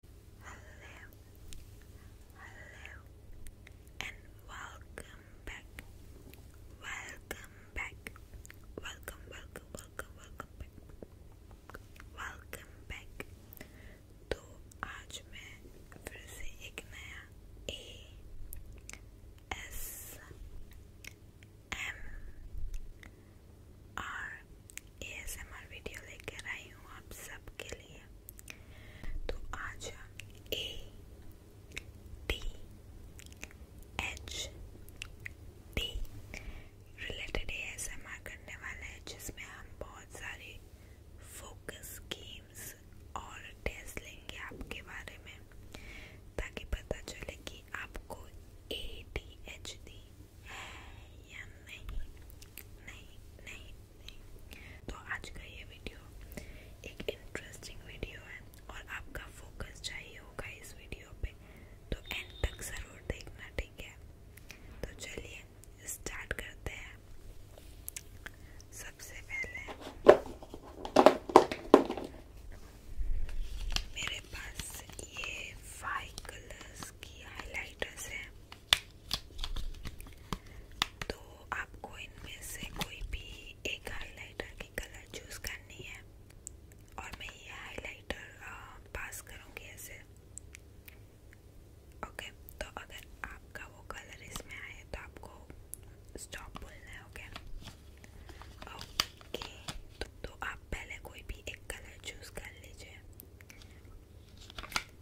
Hello, hello, and welcome back. Welcome back. Welcome, welcome, welcome, welcome back. Welcome back. तो आज मैं ASMR video लेकर आई हूँ आप सबके लिए तो आज हम A D H D related ASMR करने वाले हैं जिसमें हम बहुत सारे फोकस गेम्स और टेस्ट लेंगे आपके बारे में ताकि पता चले कि आपको ए टी एच डी या नहीं नहीं नहीं नहीं तो आज का ये वीडियो एक इंटरेस्टिंग वीडियो है और आपका फोकस चाहिए होगा इस वीडियो पे तो एंड तक ज़रूर देखना ठीक है तो चलिए स्टार्ट करते हैं सबसे पहले मेरे पास ये फाइव कलर्स की हाइलाइटर्स हैं तो आपको इनमें से कोई भी एक हाइलाइटर की कलर चूज करनी है और मैं ये हाइलाइटर पास करूँगी ऐसे ओके तो अगर आपका वो कलर इसमें आए तो आपको स्टॉप बोलना है ओके ओके तो, तो आप पहले कोई भी एक कलर चूज कर लीजिए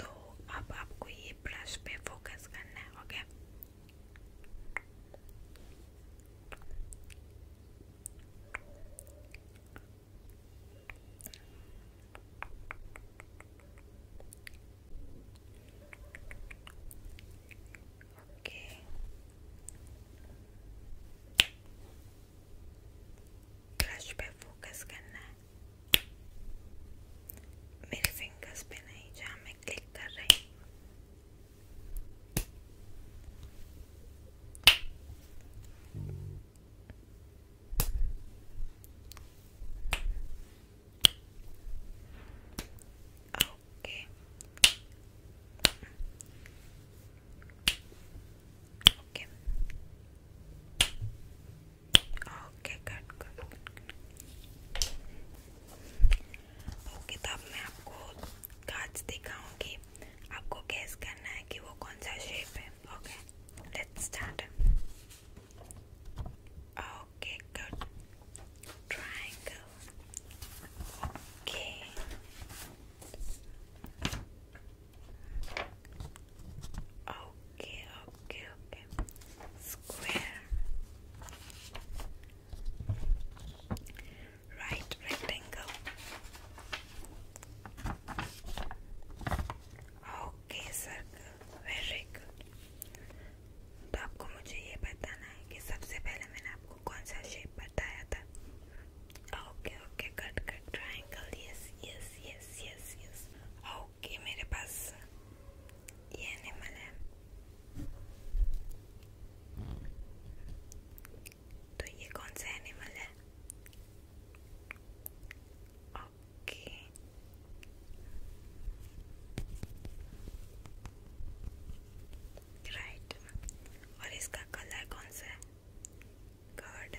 तो अब आपको ये ब्रश पे फोकस करना है ओके okay? ओके ब्रश पे फोकस करना है मेरे फिंगर्स पे नहीं जहाँ मैं क्लिक कर रही हूँ okay okay okay cut cut okay तो अब मैं आपको कांच दिखाऊंगी आपको गैस करना है कि वो कौन सा शेप है okay let's start okay good triangle okay Okay, okay, okay. Square. Right rectangle. Okay, circle. Very good. तो आपको मुझे ये बताना है कि सबसे पहले मैंने आपको कौन सा शेप बताया था okay okay cut cut triangle yes yes yes yes yes okay मेरे पास yenemeli तो ये कौन सा एनिमल है ओके राइट और इसका कलर कौन सा है गॉड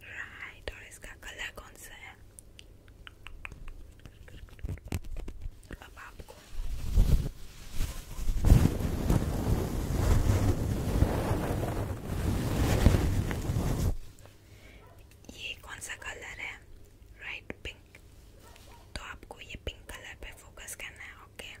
राइट और इसका कलर कौन सा है अब आपको ये कौन सा कलर है राइट पिंक तो आपको ये पिंक कलर पे फोकस करना है ओके okay?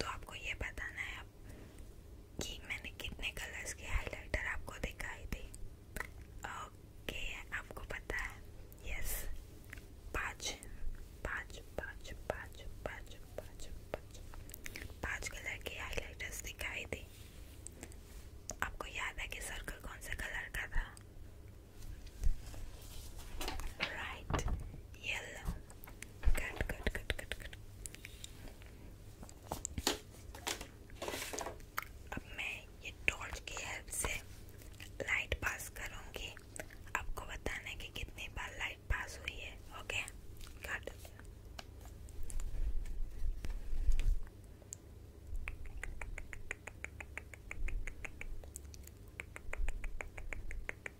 तो आपको ये बताना है आप कि मैंने कितने कलर्स के हाइलाइटर आपको दिखाई दी ओके आपको पता है यस पाँच पाँच पाँच पाँच पाँच पाँच पाँच पाँच कलर के हाइलाइटर्स दिखाई दी आपको याद है कि सर्कल कौन से कलर का था right yellow Good, good, good, good, good. अब मैं ये टॉर्च की हेल्प से लाइट पास करूंगी आपको बताना है कि कितनी बार लाइट पास हुई है ओके गुड ओके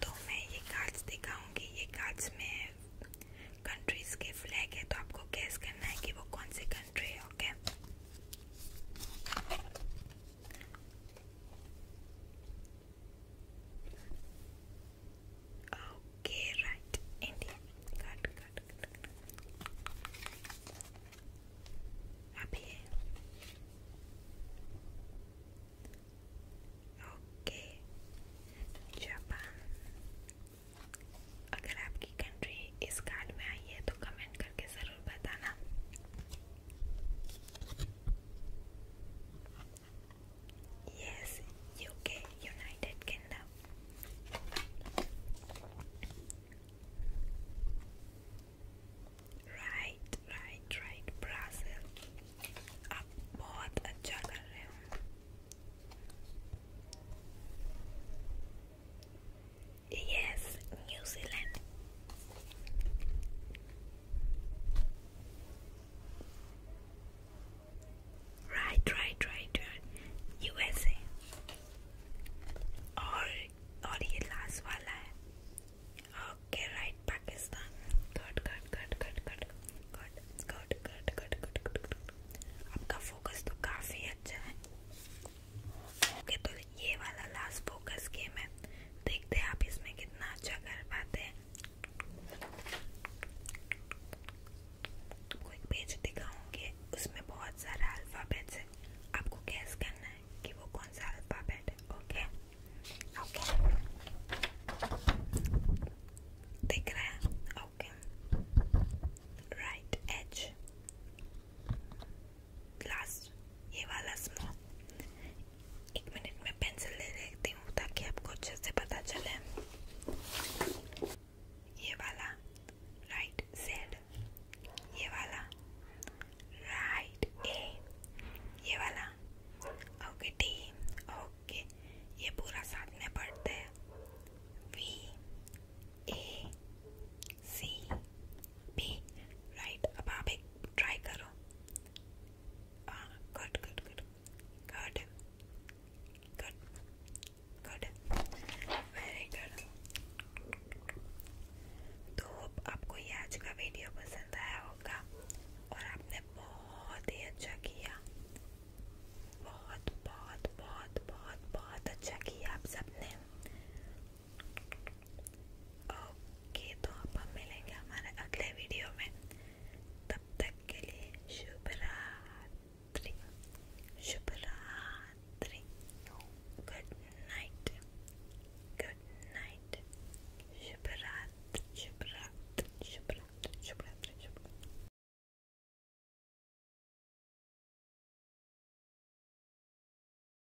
तो मैं ये कार्ड्स दिखाऊंगी ये कार्ड्स में कंट्रीज के फ्लैग है तो आपको गैस करना है कि वो कौन सी कंट्री है okay Okay, right. India. Good, good, good. Up here. Okay. Japan अगर आपकी कंट्री इस कार्ड में आई है तो कमेंट करके ज़रूर बताना Yes, UK, United Kingdom. Right, right, right, Brazil. Up बहुत अच्छा कर Yes, New Zealand. Right, right, right, right. USA. और और ये लास्ट वाला Okay, right, Pakistan. Good, good, good, good, good, good, good, good, good, good, good. आपका focus तो काफी ओके तो ये वाला लास्ट फोकस गेम है देखते हैं आप इसमें कितना अच्छा कर पाते हैं कोई पेज दिखाऊंगी उसमें बहुत सारा अल्फ़ाबेट्स है आपको गैस करना है कि वो कौन सा अल्फ़ाबेट है ओके ओके दिख रहा है ओके राइट एच लास्ट ये वाला स्मॉल एक मिनट में पेंसिल ले लेती हूँ ताकि आपको अच्छे से पता चले ये वाला राइट जेड ये वाला राइट ए ये वाला ओके डी ओके ये पूरा साथ में पढ़ते हैं V A C B right अब आप एक ट्राई करो हाँ good good good good good good very good तो होप आपको ये आज का वीडियो पसंद आया होगा और आपने बहुत ही अच्छा किया बहुत बहुत बहुत बहुत बहुत अच्छा किया आप सबने ओके तो अब हम मिलेंगे हमारे अगले वीडियो में तब तक के लिए शुभ रात्रि शुभ रात्रि गुड नाइट गुड नाइट शुभ रात्रि शुभ रात्रि शुभ रात्रि शुभ रात्रि शुभ रात्रि